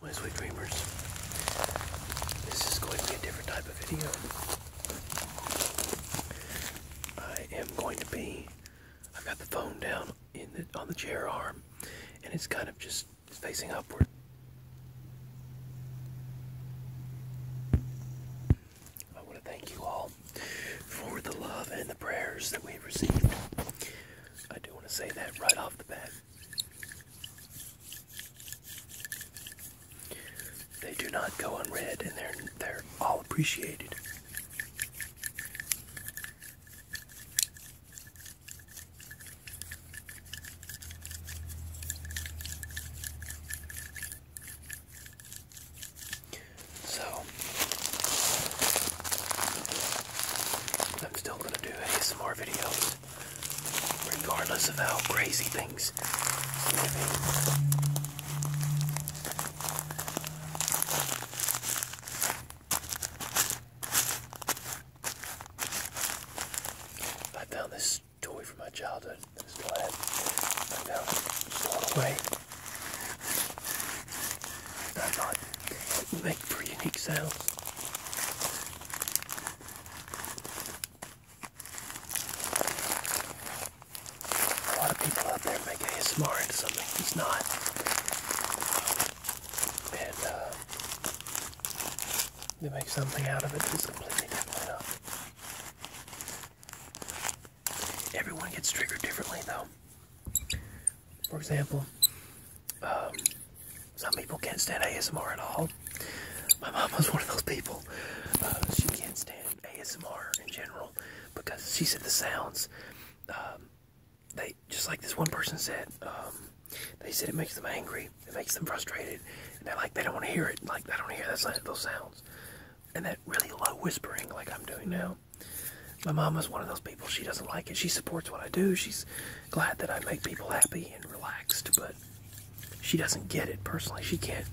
My sweet dreamers, this is going to be a different type of video. I am going to be, I've got the phone down on the chair arm, and it's kind of just facing upward. I want to thank you all for the love and the prayers that we've received. I do want to say that right off the bat. They do not go unread and they're they're all appreciated. So I'm still gonna do some more videos regardless of how crazy things may be. I found this toy from my childhood. This is glad I found it thrown away. make pretty sounds. A lot of people out there make ASMR into something it's not. And uh, they make something out of it that's completely different Everyone gets triggered differently though. For example, um, some people can't stand ASMR at all. My mom was one of those people. Uh, she can't stand ASMR in general because she said the sounds. Um, they just like this one person said. Um, they said it makes them angry. It makes them frustrated. And they're like, they don't want to hear it. Like, they don't hear that, those sounds. And that really low whispering like I'm doing now. My mom was one of those people. She doesn't like it. She supports what I do. She's glad that I make people happy and relaxed, but she doesn't get it personally. She can't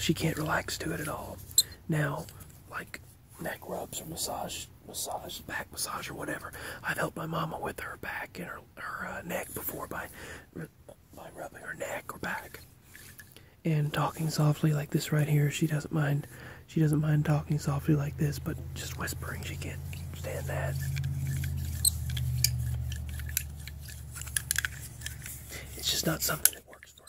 she can't relax to it at all. Now, like neck rubs or massage massage back massage or whatever. I've helped my mama with her back and her, her uh, neck before by by rubbing her neck or back. And talking softly like this right here, she doesn't mind. She doesn't mind talking softly like this, but just whispering she can't stand that. It's just not something that works for her.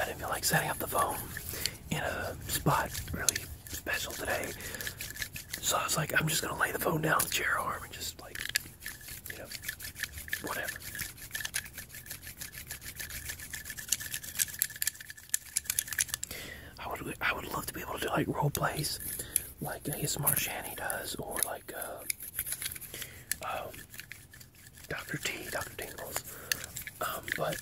I didn't feel like setting up the phone in a spot really special today. So I was like, I'm just gonna lay the phone down on the chair arm and just like I would I would love to be able to do like role plays, like ASMR Shanny does, or like uh, um, Doctor T, Doctor Tingles. Um, but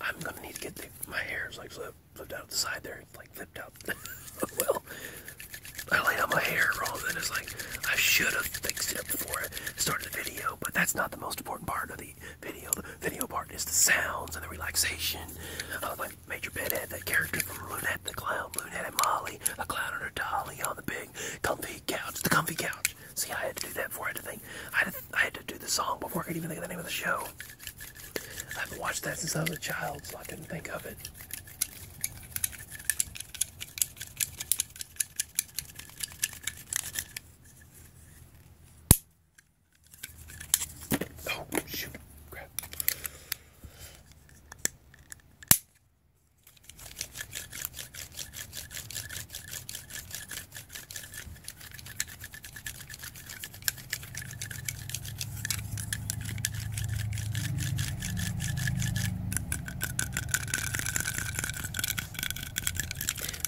I'm gonna need to get the, my hairs like flipped flipped out the side there, like flipped out. well, I laid out my hair wrong, and it's like I should have fixed it before I started the video, but that's not the most important part of the video. The video part is the sounds and the relaxation. Uh, like Major Bedhead, that character from Lunette the Clown, Lunette and Molly, a clown and her dolly on the big comfy couch, the comfy couch. See, I had to do that before I had think. I had to, I had to do the song before I could even think of the name of the show. I haven't watched that since I was a child, so I couldn't think of it. Oh, shoot. Crap. I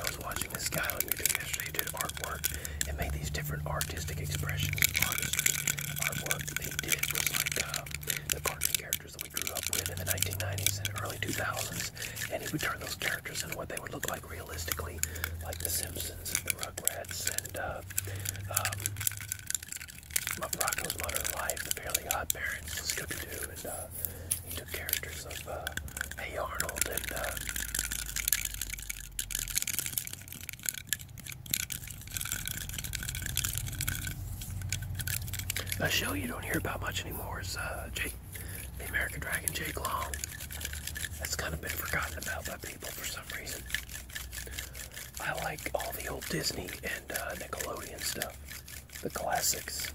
was watching this guy on YouTube yesterday He did artwork and made these different artistic expressions of artistry. Artwork that he did was like uh, the cartoon characters that we grew up with in the 1990s and early 2000s, and he would turn those characters into what they would look like realistically, like The Simpsons and The Rugrats and uh, um, Rocco's Modern Life, Fairly Odd Parents, Scooby-Doo, and uh, he took characters of uh, Hey Arnold and uh, a show you don't hear about much anymore is Jake, the American Dragon, Jake Long. That's kind of been forgotten about by people for some reason. I like all the old Disney and uh, Nickelodeon stuff, the classics.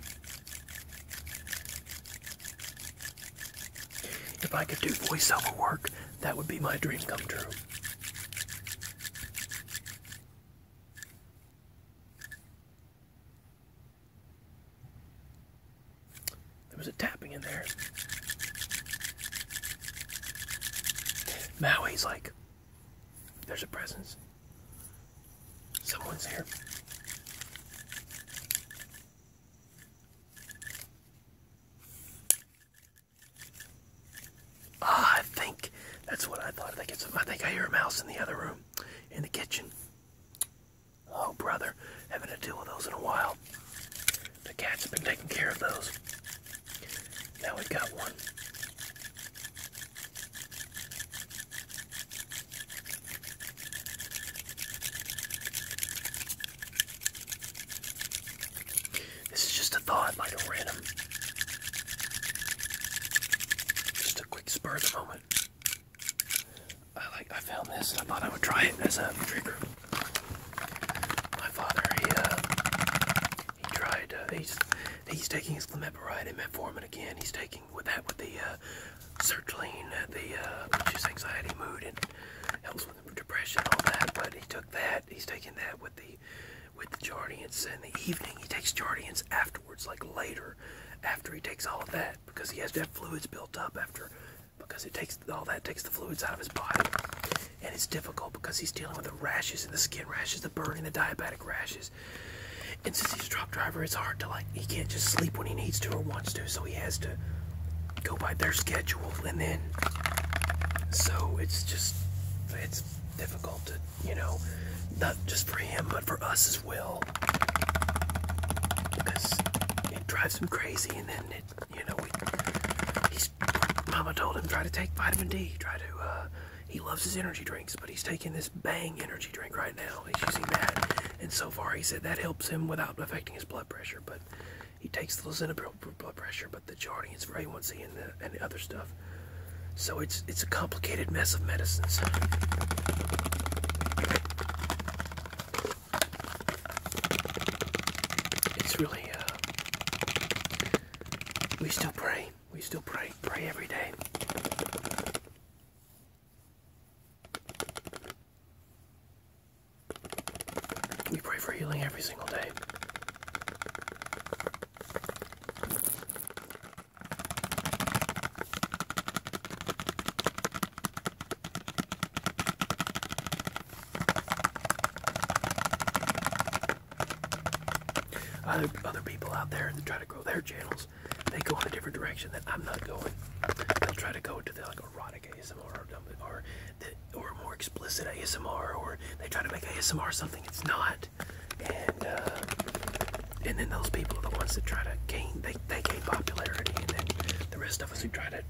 If I could do voiceover work, that would be my dream come true. There was a tapping in there. Maui's like, there's a presence. Someone's here. Ah, I think that's what I thought. I think, I hear a mouse in the other room, in the kitchen. Oh, brother, having to deal with those in a while. The cats have been taking care of those. Now we've got one. This is just a thought, like a random. Just a quick spur at the moment. I like I found this and I thought I would try it as a trigger. My father, he, uh, tried, uh, he's, taking his clemipiride and metformin again. He's taking with that with the, uh, sertraline, uh, the, which is anxiety, mood, and helps with depression, all that. But he took that, he's taking that with the, with the Jardiance in the evening. He takes Jardiance afterwards, like later, after he takes all of that, because he has to have fluids built up after, because it takes all that takes the fluids out of his body and it's difficult because he's dealing with the rashes and the skin rashes, the burning, the diabetic rashes. And since he's a truck driver, it's hard to like he can't just sleep when he needs to or wants to, so he has to go by their schedule and then so it's just it's difficult to, you know, not just for him but for us as well. Because it drives him crazy and then it you know, we, he's, Mama told him try to take vitamin D. Try to, uh, he loves his energy drinks, but he's taking this Bang energy drink right now. He's using that, and so far he said that helps him without affecting his blood pressure. But he takes the lisinopril for blood pressure, but the charting is very A1C and the, and the other stuff. So it's it's a complicated mess of medicines. It's really. Uh, we still pray. We still pray. Pray every day. We pray for healing every single day. Other, people out there that try to grow their channels, they go in a different direction that I'm not going. They'll try to go to the like erotic ASMR or more explicit ASMR, or they try to make ASMR something it's not. And uh, and then those people are the ones that try to gain they they gain popularity, and then the rest of us who try to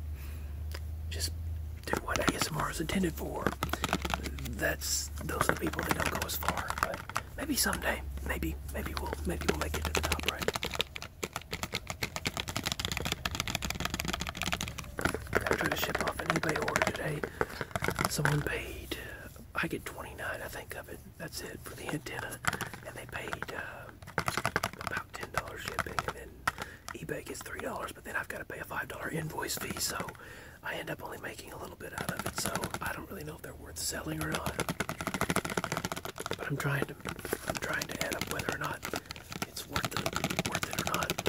just to what ASMR is intended for. That's those are the people that don't go as far. But maybe someday, maybe maybe we'll maybe we'll make it to the top, right? I tried to ship off an eBay order today. Someone paid. I get 29, I think, of it. That's it for the antenna, and they paid uh, about $10 shipping, eBay gets three dollars, but then I've got to pay a five dollar invoice fee, so I end up only making a little bit out of it. So I don't really know if they're worth selling or not. But I'm trying to I'm trying to add up whether or not it's worth it, or not.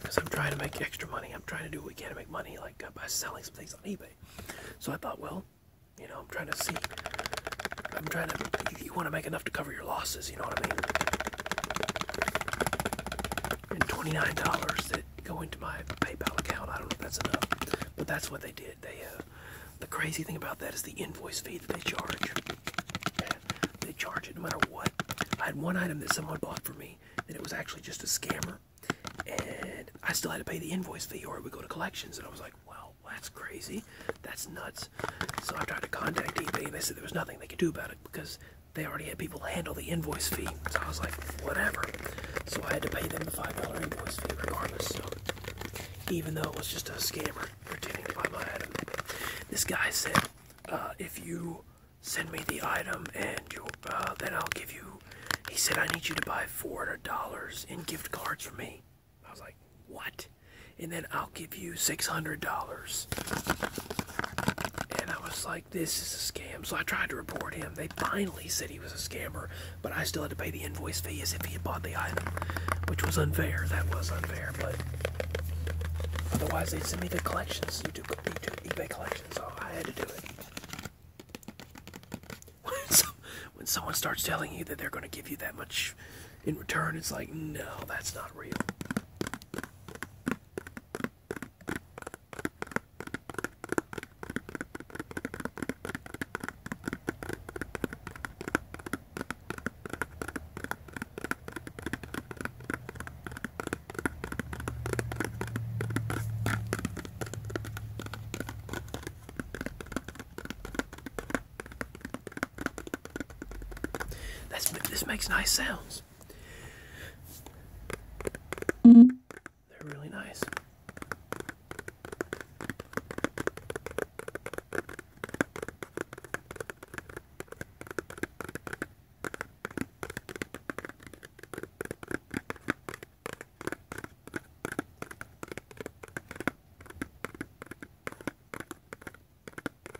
Because I'm trying to make extra money. I'm trying to do what we can to make money, like uh, by selling some things on eBay. So I thought, well, you know, I'm trying to see. I'm trying to. you want to make enough to cover your losses. You know what I mean? and $29 that go into my PayPal account. I don't know if that's enough, but that's what they did. They, uh, the crazy thing about that is the invoice fee that they charge. They charge it no matter what. I had one item that someone bought for me that it was actually just a scammer, and I still had to pay the invoice fee or it would go to collections. And I was like, wow, well, that's crazy. That's nuts. So I tried to contact eBay and they said there was nothing they could do about it because they already had people handle the invoice fee. So I was like, whatever. So I had to pay them the $5 invoice fee regardless. So even though it was just a scammer pretending to buy my item, this guy said, uh, if you send me the item and you, uh, then I'll give you. He said, I need you to buy $400 in gift cards for me. I was like, what? And then I'll give you $600. And I was like, this is a scam. So I tried to report him. They finally said he was a scammer, but I still had to pay the invoice fee as if he had bought the item, which was unfair. That was unfair, but otherwise they'd send me the collections, You do eBay collections, so I had to do it. when someone starts telling you that they're going to give you that much in return, it's like, no, that's not real. That's, this makes nice sounds. They're really nice.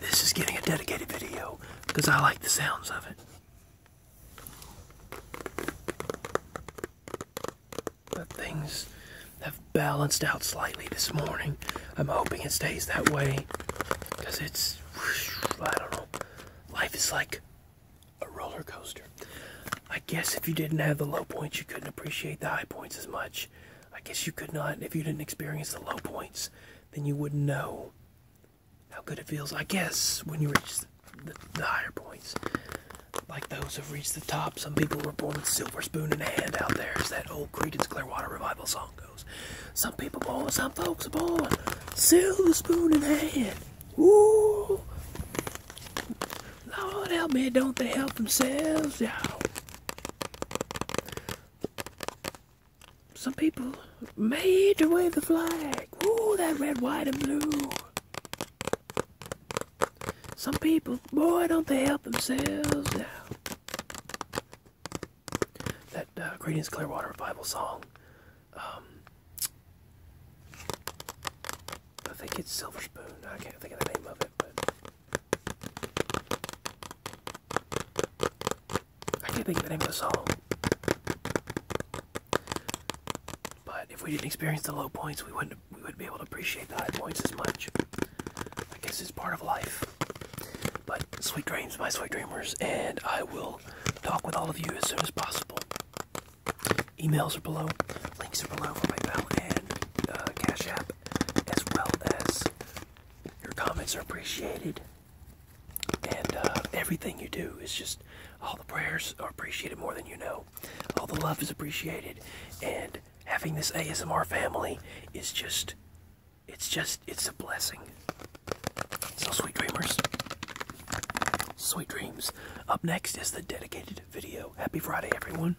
This is getting a dedicated video because I like the sounds of it. But things have balanced out slightly this morning. I'm hoping it stays that way because it's, I don't know, life is like a roller coaster. I guess if you didn't have the low points, you couldn't appreciate the high points as much. I guess you could not, if you didn't experience the low points, then you wouldn't know how good it feels. I guess when you reach the, higher points, like those who've reached the top, some people were born with silver spoon in hand out there, as that old Creedence Clearwater Revival song goes. Some people born, some folks born, silver spoon in hand. Woo! Lord help me, don't they help themselves, y'all? Some people made to wave the flag. Ooh, that red, white, and blue. Some people, boy, don't they help themselves now. That uh, Greetings Clearwater Revival song. Um, I think it's Silver Spoon. I can't think of the name of it, but I can't think of the name of the song. But if we didn't experience the low points, we wouldn't we wouldn't be able to appreciate the high points as much. I guess it's part of life. But sweet dreams, my sweet dreamers, and I will talk with all of you as soon as possible. Emails are below, links are below for PayPal and uh, Cash App as well as your comments are appreciated. And uh, everything you do is just all the prayers are appreciated more than you know. All the love is appreciated. And having this ASMR family is just, it's just, it's a blessing. So, sweet dreamers, sweet dreams. Up next is the dedicated video. Happy Friday, everyone.